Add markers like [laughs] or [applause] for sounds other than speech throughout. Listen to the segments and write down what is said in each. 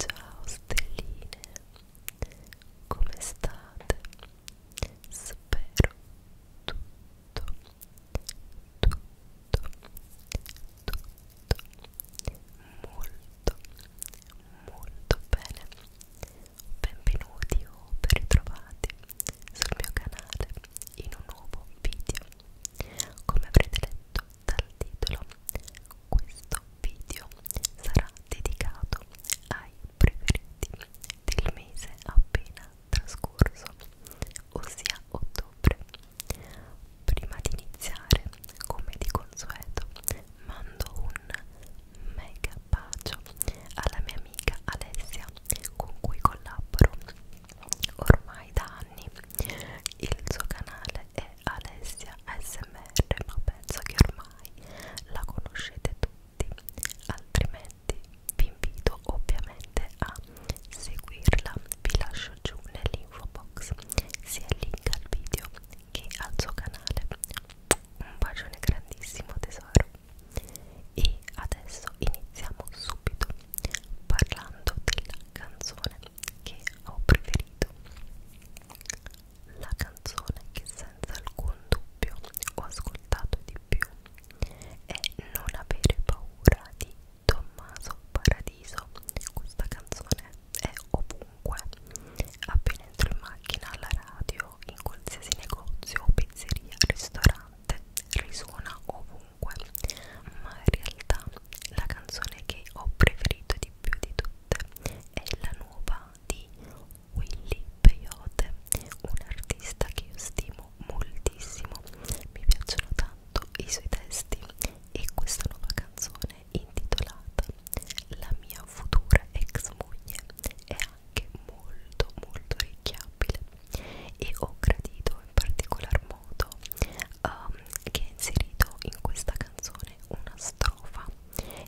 Ciao stelline, come state? Spero tutto, tutto, tutto molto, molto bene benvenuti o ben ritrovati sul mio canale in un nuovo video. Come avrete letto dal titolo, questo video sarà dedicato ai preferiti del mese appena trascorso, ossia ottobre. Prima di iniziare, come di consueto, mando un mega bacio alla mia amica Alessia con cui collaboro ormai da anni il suo canale è Alessia ASMR ma penso che ormai la conoscete tutti altrimenti vi invito ovviamente a seguirla vi lascio giù nell'info box sia il link al video che al suo canale un bacione grandissimo tesoro e adesso iniziamo subito parlando della canzone che ho preferito la canzone che senza alcun dubbio ho ascoltato di più è Non avere paura di Tommaso Paradiso questa canzone è ovunque appena entro in macchina alla radio audio in qualsiasi negozio, pizzeria, ristorante, risuona ovunque, ma in realtà la canzone che ho preferito di più di tutte è la nuova di Willy Peyote, un artista che io stimo moltissimo, mi piacciono tanto i suoi testi e questa nuova canzone intitolata La mia futura ex moglie è anche molto molto orecchiabile e ho gradito in particolar modo um, che è inserito in questa canzone una strofa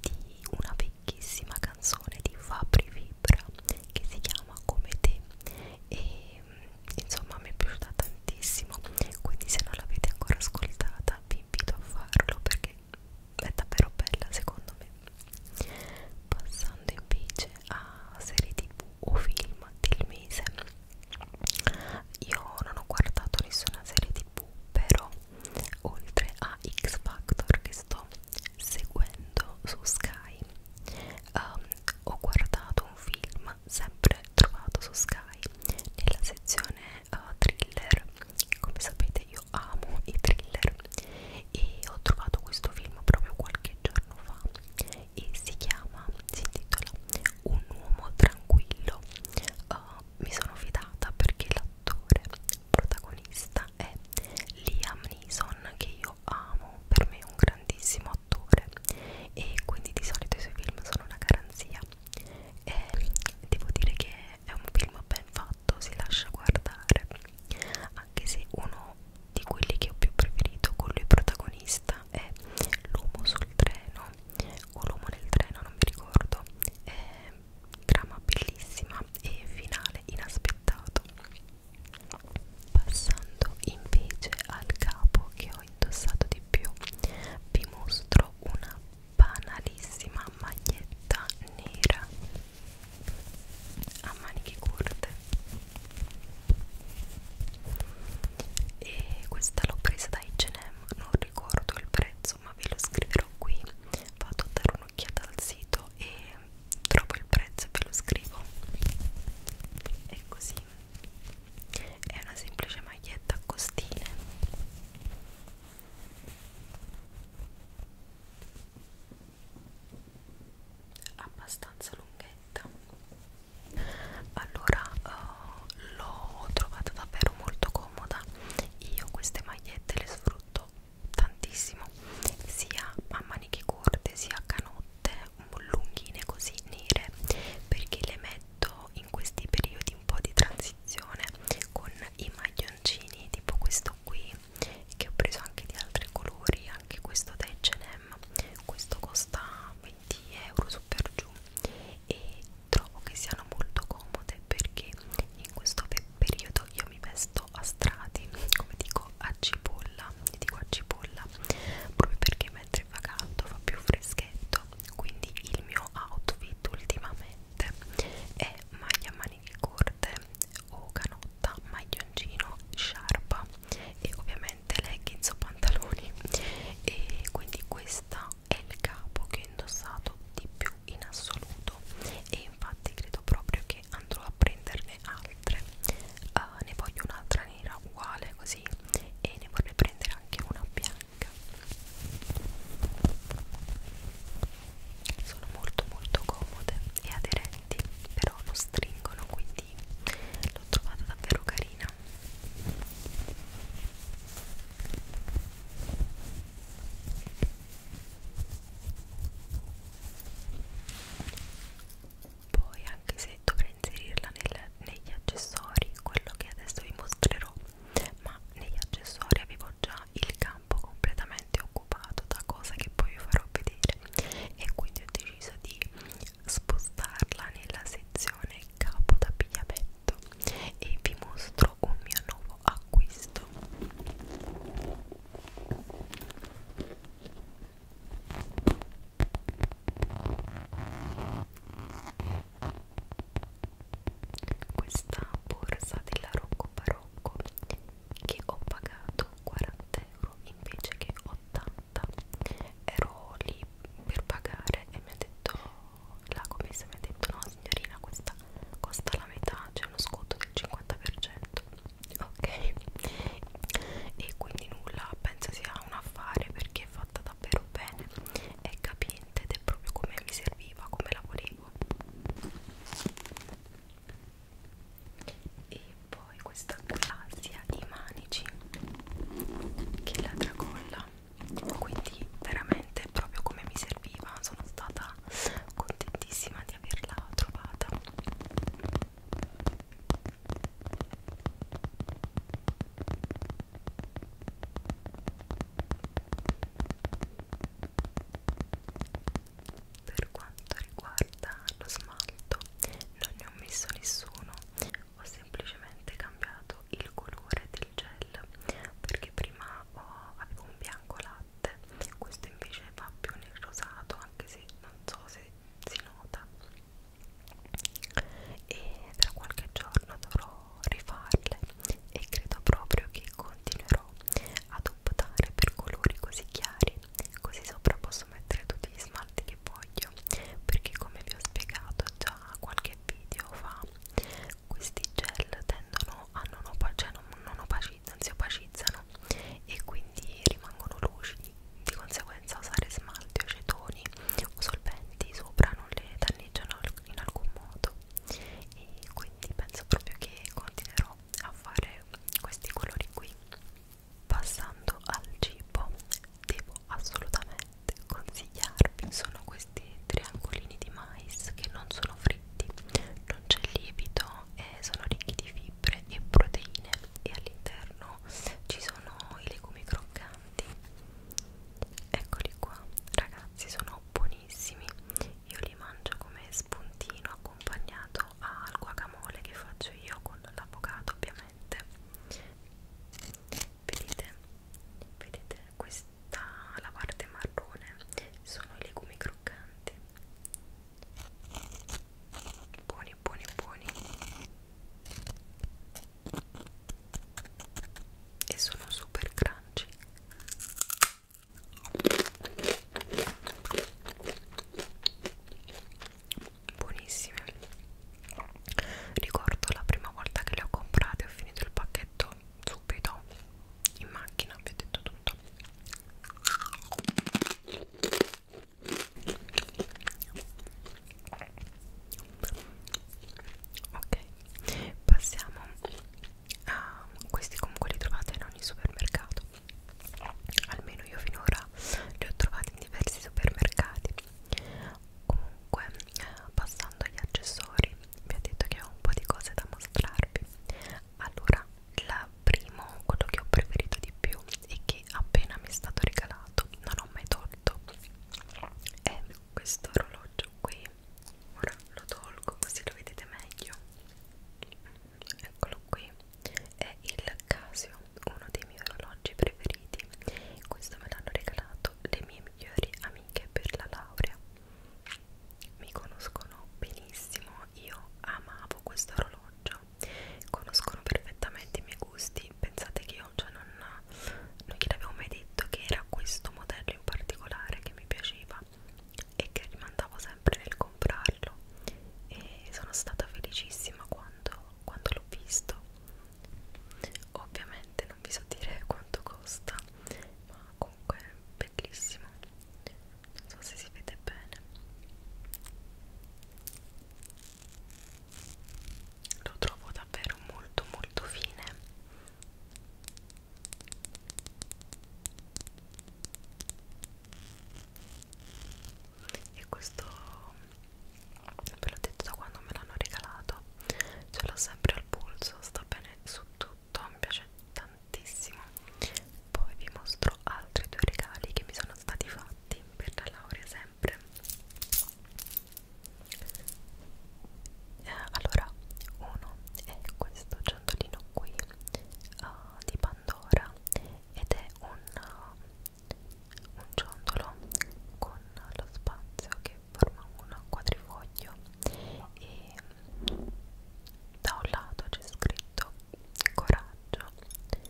di una vecchissima canzone di Fabri Vibra che si chiama Come te e mm, insomma mi è piaciuta tantissimo quindi se non l'avete ancora ascoltata vi invito a farlo perché è davvero bella secondo me Passando invece a serie tv o film del mese, io non ho guardato nessuna serie tv, però oltre a X Factor che sto seguendo su Sky, um, ho guardato un film sempre trovato su Sky nella sezione uh, thriller. Come sapete, io amo i thriller Picture e ho trovato questo film proprio qualche giorno fa e si chiama, si intitola Un uomo tranquillo uh, mi sono fidata perché l'attore protagonista è Liam Neeson che io amo, per me è un grandissimo attore e quindi di solito i suoi film sono una garanzia e devo dire che è un film ben fatto, si lascia guardare anche se uno di quelli che ho più preferito con lui protagonista è l'uomo sul treno o l'uomo nel treno non mi ricordo è trama bellissima e finale inaspettato passando invece al capo che ho indossato di più vi mostro una banalissima maglietta nera a maniche corte e questa l'ho presa da H&M non ricordo il prezzo ma ve lo scriverò qui vado a dare un'occhiata al sito e trovo il prezzo e ve lo scrivo è così è una semplice maglietta a costine abbastanza lunghetta allora uh, l'ho trovata davvero molto comoda io queste magliette le sfrutto tantissimo sia a maniche corte sia a canotte lunghine così nere perché le metto in questi periodi un po' di transizione con i maglioncini tipo questo qui e che ho preso anche di altri colori anche questo da H&M questo costa 20 euro super giù e trovo che siano molto comode perché in questo pe periodo io mi vesto a strati come dico a cipolla io dico a cipolla proprio perché mentre va caldo fa più freschetto quindi il mio outfit ultimamente è maglia a maniche corte o canotta, maglioncino, sciarpa e ovviamente leggings o pantaloni e quindi questa è il capo che ho indossato di più in assoluto e infatti credo proprio che andrò a prenderne altre uh, ne voglio un'altra nera uguale così e ne vorrei prendere anche una bianca sono molto molto comode e aderenti però non stringono quindi l'ho trovata davvero carina poi anche se dovrei inserirla nel, negli accessori quello che adesso vi mostrerò ma negli accessori avevo già il campo completamente occupato da cosa che poi vi farò vedere e quindi ho deciso di spostarla nella sezione capo d'abbigliamento e vi mostro un mio nuovo acquisto questa borsa della Rocco Barocco che ho pagato 40 euro invece che 80 ero lì per pagare e mi ha detto la commessa mi ha detto no signorina questa costa la metà c'è uno sconto del 50% ok e quindi nulla penso sia un affare perché è fatta davvero bene è capiente ed è proprio come mi serviva come la volevo e poi questa clasia di manici che la tracolla quindi veramente proprio come mi serviva sono stata contentissima di averla trovata per quanto riguarda lo smalto non ne ho messo nessuno ho semplicemente cambiato il colore del gel perché prima ho, avevo un bianco latte questo invece va più nel rosato anche se non so se si nota e tra qualche giorno dovrò rifarle e credo proprio che continuerò ad optare per colori così chiari così sopra posso mettere tutti gli smalti che voglio perché come vi ho spiegato già qualche video fa questi gel tendono a non, opa cioè non, non opacizzano, si opacizzano e quindi rimangono lucidi di conseguenza usare smalti o cetoni o solventi sopra non le danneggiano in alcun modo e quindi penso proprio che continuerò a fare questi colori qui passando al cibo devo assolutamente consigliarvi sono questi triangolini di mais che non sono fritti non c'è lievito eh, sono ricchi di fibre e proteine e all'interno ci sono i legumi croccanti eccoli qua ragazzi sono buonissimi io li mangio come spuntino accompagnato al guacamole che faccio io con l'avocado ovviamente veramente vedete vedete questa la parte marrone sono i legumi croccanti buoni buoni buoni e sono super crunchy buonissime ricordo la prima volta che le ho comprate ho finito il pacchetto subito in macchina vi ho detto tutto ok passiamo a questi comunque li trovate in ogni supermercato almeno io finora li ho trovati in diversi supermercati comunque passando agli accessori vi ho detto che ho un po' di cose da mostrarvi allora la primo quello che ho preferito di più e che appena mi è stato regalato non ho mai tolto è questo orologio qui ora lo tolgo così lo vedete meglio eccolo qui è il Casio, uno dei miei orologi preferiti. Questo me l'hanno regalato le mie migliori amiche per la laurea. Mi conoscono benissimo, io amavo questo orologio, conoscono perfettamente i miei gusti. Pensate che io cioè, non, non gliel'avevo mai detto che era questo modello in particolare che mi piaceva e che rimandavo sempre nel comprarlo e sono stata felicissima quando quando l'ho visto ovviamente non vi so dire quanto costa ma comunque è bellissimo non so se si vede bene lo trovo davvero molto molto fine e questo ve l'ho detto da quando me l'hanno regalato ce l'ho sempre al polso sta bene su tutto mi piace tantissimo poi vi mostro altri due regali che mi sono stati fatti per la laurea sempre eh, allora uno è questo ciondolino qui uh, di Pandora ed è un uh, un ciondolo con lo spazio che forma un quadrifoglio e da un lato c'è scritto coraggio e,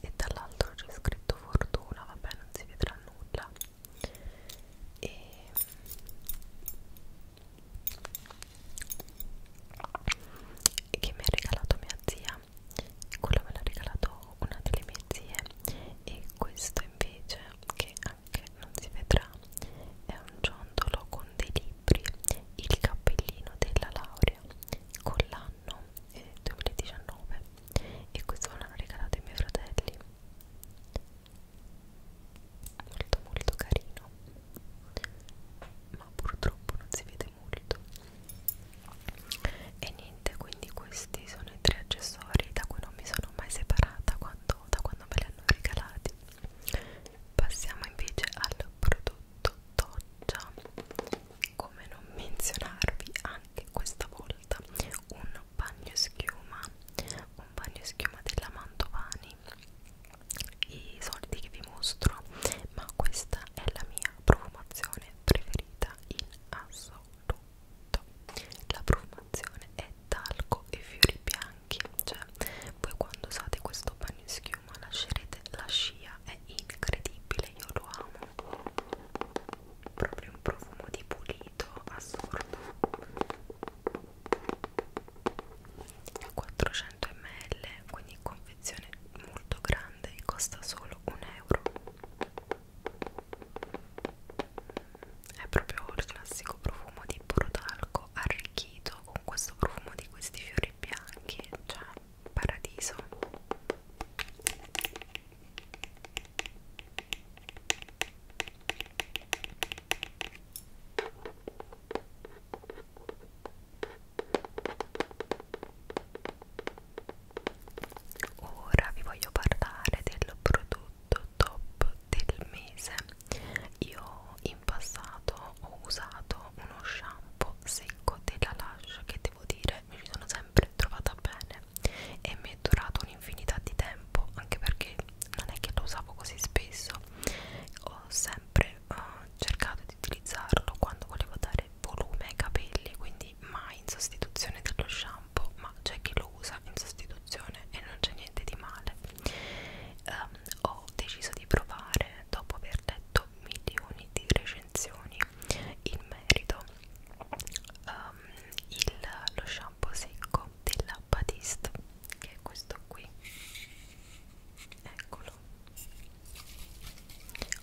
e dall'altro c'è scritto fortuna vabbè non si vedrà nulla e e che mi ha regalato mia zia quello me l'ha regalato una delle mie zie e questo invece che anche non si vedrà è un ciondolo con dei libri il cappellino della laurea con l'anno eh, 2019 e questo me l'hanno regalato i miei fratelli molto molto carino ma purtroppo non si vede molto e niente quindi questi sono i tre accessori da cui non mi sono mai separata quando, da quando me li hanno regalati passiamo invece al prodotto Toggia come non menzionarvi anche questa volta un bagno schiuma un bagno schiuma della Mantovani i soldi che vi mostro ma questa è la mia mia profumazione preferita in assoluto. La profumazione è talco e fiori bianchi, cioè voi quando usate questo bagno schiuma lascerete la scia, è incredibile, io lo amo. Proprio un profumo di pulito assurdo. 400 ml, quindi confezione molto grande e costa solo un euro è proprio il classico profumo di brodalco arricchito con questo profumo di questi fiori bianchi cioè paradiso Ora vi voglio parlare del prodotto top del mese. Io in passato ho usato uno shampoo secco della Lush che devo dire mi ci sono sempre trovata bene e mi è durato un'infinità di tempo anche perché non è che lo usavo così spesso ho sempre uh, cercato di utilizzarlo quando volevo dare dare volume ai capelli quindi mai in sostituzione dello shampoo ma c'è chi lo usa in sostituzione e non c'è niente di male um, ho deciso di provare dopo aver letto milioni di recensioni in merito um, il, lo shampoo secco della Batiste che è questo qui eccolo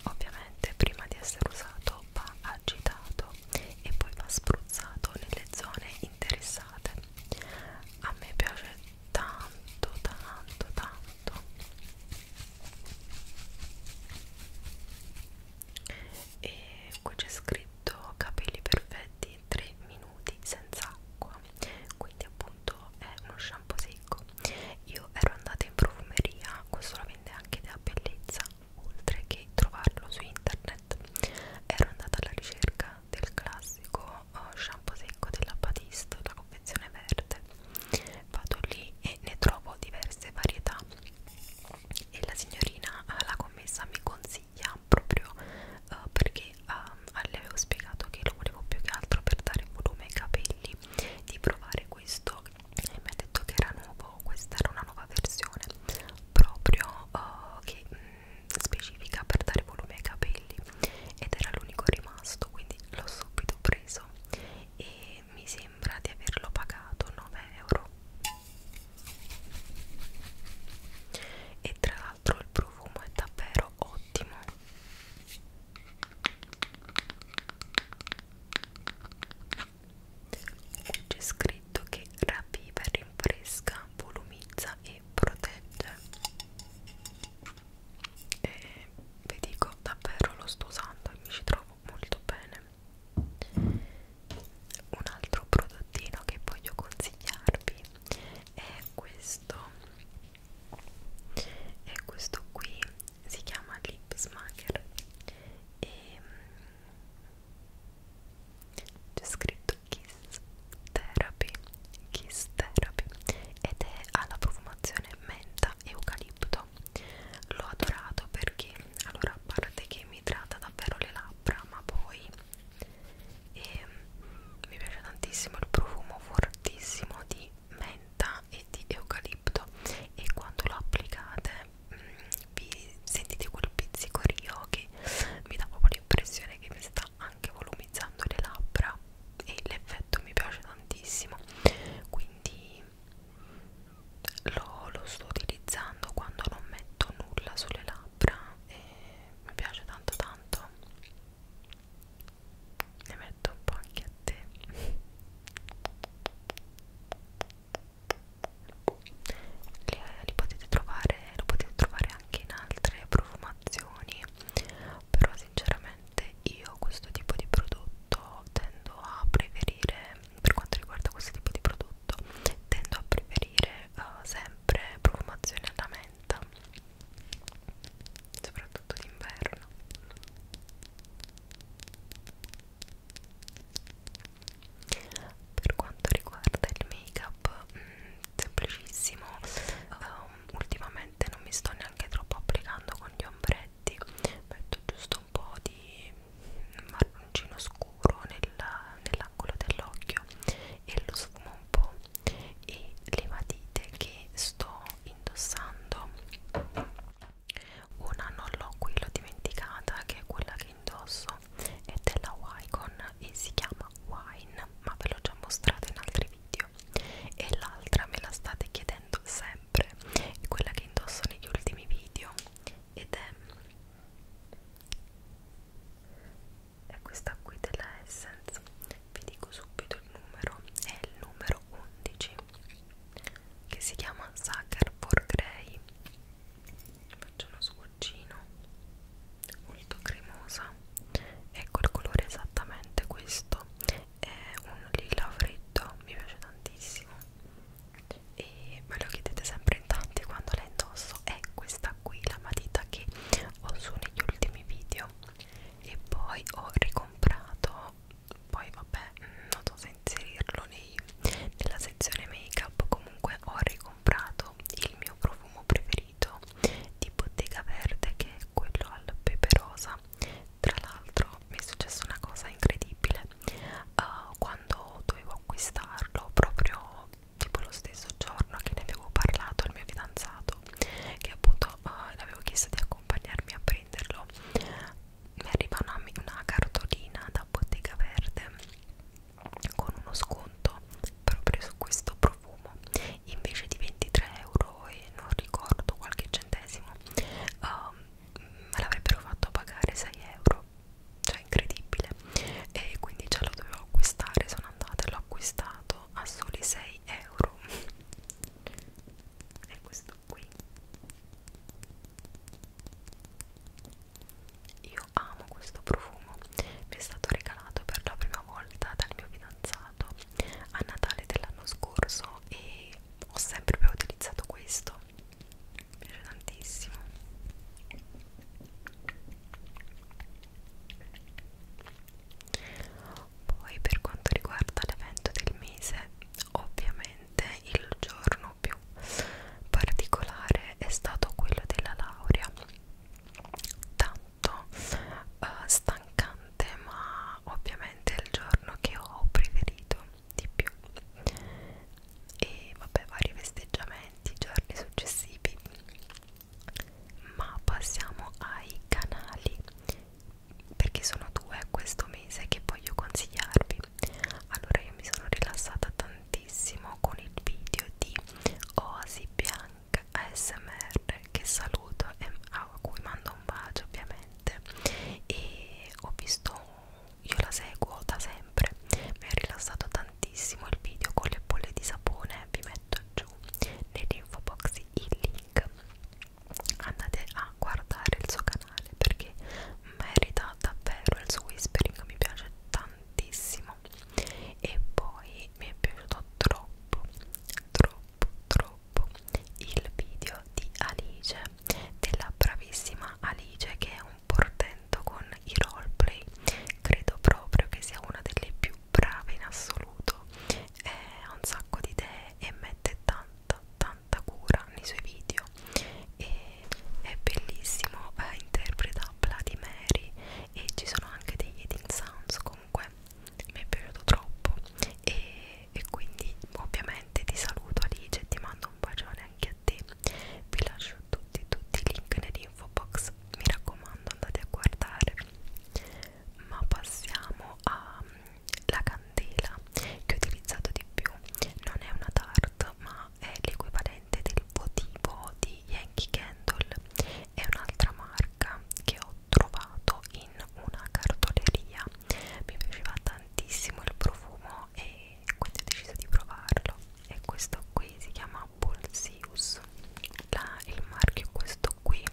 Ovviamente prima di essere usato va agitato e poi va spruzzato nelle zone interessate. A me piace tanto, tanto, tanto. E qui c'è scritto capelli perfetti 3 minuti senza acqua. Quindi appunto è uno shampoo un po' secco io ero andata in profumeria questo lo vende anche da bellezza oltre che trovarlo su internet ero andata alla ricerca del classico uh, shampoo secco della Batiste la confezione verde vado lì e ne trovo diverse varietà e la signorina uh, la commessa mi consiglia proprio uh, perché uh, ehm, le avevo spiegato che lo volevo più che altro per dare volume ai capelli di provare questo e mi ha detto che era nuovo, questa era una nuova versione proprio uh, che mh, mm, specifica per dare volume ai capelli ed era l'unico rimasto quindi l'ho subito preso e mi sembra di averlo pagato 9 euro e tra l'altro il profumo è davvero ottimo Qui c'è scritto che ravviva, rinfresca, volumizza e protegge. E vi dico davvero lo sto usando e mi ci trovo molto bene. Un altro prodottino che voglio consigliarvi è questo. È questo qui si chiama Lip Smacker e mm, c'è scritto Kiss Therapy Kiss Therapy ed è alla profumazione menta e eucalipto l'ho adorato perché allora a parte che mi idrata davvero le labbra ma poi e, ehm, mi piace tantissimo il profumo fortissimo di menta e di eucalipto e quando lo applicate mh, mm, vi sentite quel pizzicorio che mi dà proprio l'impressione che mi sta anche volumizzando le labbra e l'effetto mi piace tantissimo quindi lo, lo sto utilizzando quando non metto nulla sulle labbra e mi piace tanto tanto ne metto un po' anche a te li, li potete trovare lo potete trovare anche in altre profumazioni però sinceramente io questo tipo di prodotto tendo a preferire per quanto riguarda questo tipo di prodotto tendo a preferire uh, sempre profumazione alla menta soprattutto d'inverno per quanto riguarda il make up mh, mm, semplicissimo um, ultimamente non mi sto neanche troppo applicando con gli ombretti metto giusto un po' di marroncino scuro nella, nell'angolo dell'occhio e lo sfumo un po' e le matite che sto indossando una non l'ho qui, l'ho dimenticata, che è quella che indosso, è della Wycon e si chiama Wine, ma ve l'ho già mostrata in altri video. E l'altra me la state chiedendo sempre, è quella che indosso negli ultimi video ed è, è questa qui della Essence. Vi dico subito il numero, è il numero 11 che si chiama Sucker for Grey faccio uno sguaccino molto cremosa ecco il colore è esattamente questo è un lila freddo mi piace tantissimo e me lo chiedete sempre in tanti quando la indosso è questa qui la matita che ho su negli ultimi video e poi ho ricomprato poi vabbè mm, non so se inserirlo nei, nella sezione make up comunque ho ricomprato il mio profumo preferito di Bottega Verde che è quello al pepe rosa tra l'altro mi è successa una cosa incredibile uh, quando dovevo acquistarlo proprio tipo lo stesso giorno che ne avevo parlato al mio fidanzato che appunto uh, l'avevo chiesto di accompagnarmi a prenderlo mi arriva una, una cartolina da Bottega Verde con uno sconto proprio su questo profumo invece di 23 euro e non ricordo qualche centesimo um, me l'avrebbero fatto pagare 6 euro cioè incredibile e quindi ce lo dovevo acquistare sono andata e l'ho acquistato a soli 6 euro [laughs] e questo qui io amo questo profumo mi è stato regalato per la prima volta dal mio fidanzato a Natale dell'anno scorso e ho sempre più utilizzato questo mi piace tantissimo poi per quanto riguarda l'evento del mese Ovviamente il giorno più particolare è stato quello della laurea, tanto eh, stancante, ma ovviamente è il giorno che ho preferito di più. E vabbè, vari festeggiamenti, giorni successivi. Ma passiamo ai canali perché sono due questo mese che voglio consigliarvi allora io mi sono rilassata tantissimo con il video di Oasi Bianca ASMR che saluto e a cui mando un bacio ovviamente e ho visto io la seguo da sempre mi ha rilassato tantissimo il video con le bolle di sapone vi metto giù nell'info box il link andate a guardare il suo canale canale perché merita davvero il suo whispering mi piace tantissimo e poi mi è piaciuto troppo troppo troppo il video di Alice della bravissima Alice che è un portento con i roleplay credo proprio che sia una delle più brave in assoluto ha un sacco di idee e mette tanta tanta tanta cura nei suoi video e è bellissimo eh, interpreta Bloody Mary e ci sono anche degli eating sounds comunque mi è piaciuto troppo e, e quindi ovviamente ti saluto Alice e ti mando un bacione anche a te vi lascio tutti tutti i link nell'info box mi raccomando andate a guardare ma passiamo alla candela che ho utilizzato di più non è una tart ma è l'equivalente del votivo di Yankee Candle è un'altra marca che ho trovato in una cartoleria mi piaceva tantissimo il profumo e quindi ho deciso di provarlo e questo qui si chiama Pulsius La, il marchio questo qui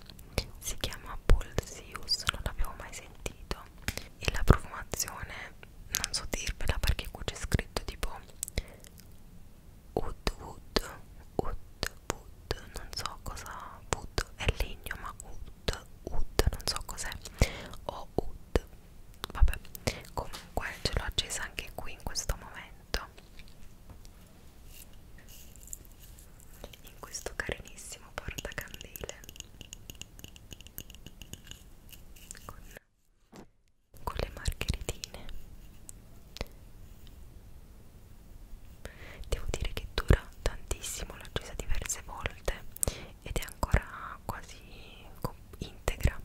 si chiama Pulsius non l'avevo mai sentito e la profumazione non so dirvela perché qui c'è scritto tipo wood wood wood wood non so cosa wood è legno ma wood wood non so cos'è o wood vabbè comunque ce l'ho accesa anche qui in questo momento in questo carinissimo portacandele con, con le margheritine devo dire che dura tantissimo l'ho accesa diverse volte ed è ancora quasi integra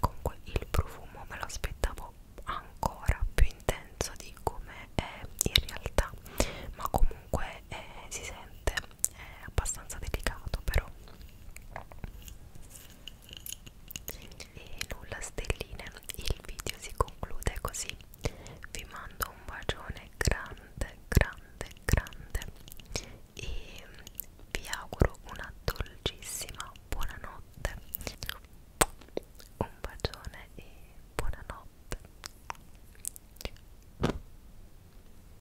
comunque il profumo me lo aspettavo ancora più intenso di come è in realtà ma comunque eh, si sente è abbastanza delicato però e nulla stelline il video si conclude così vi mando un bacione grande grande grande e vi auguro una dolcissima buonanotte un bacione e buonanotte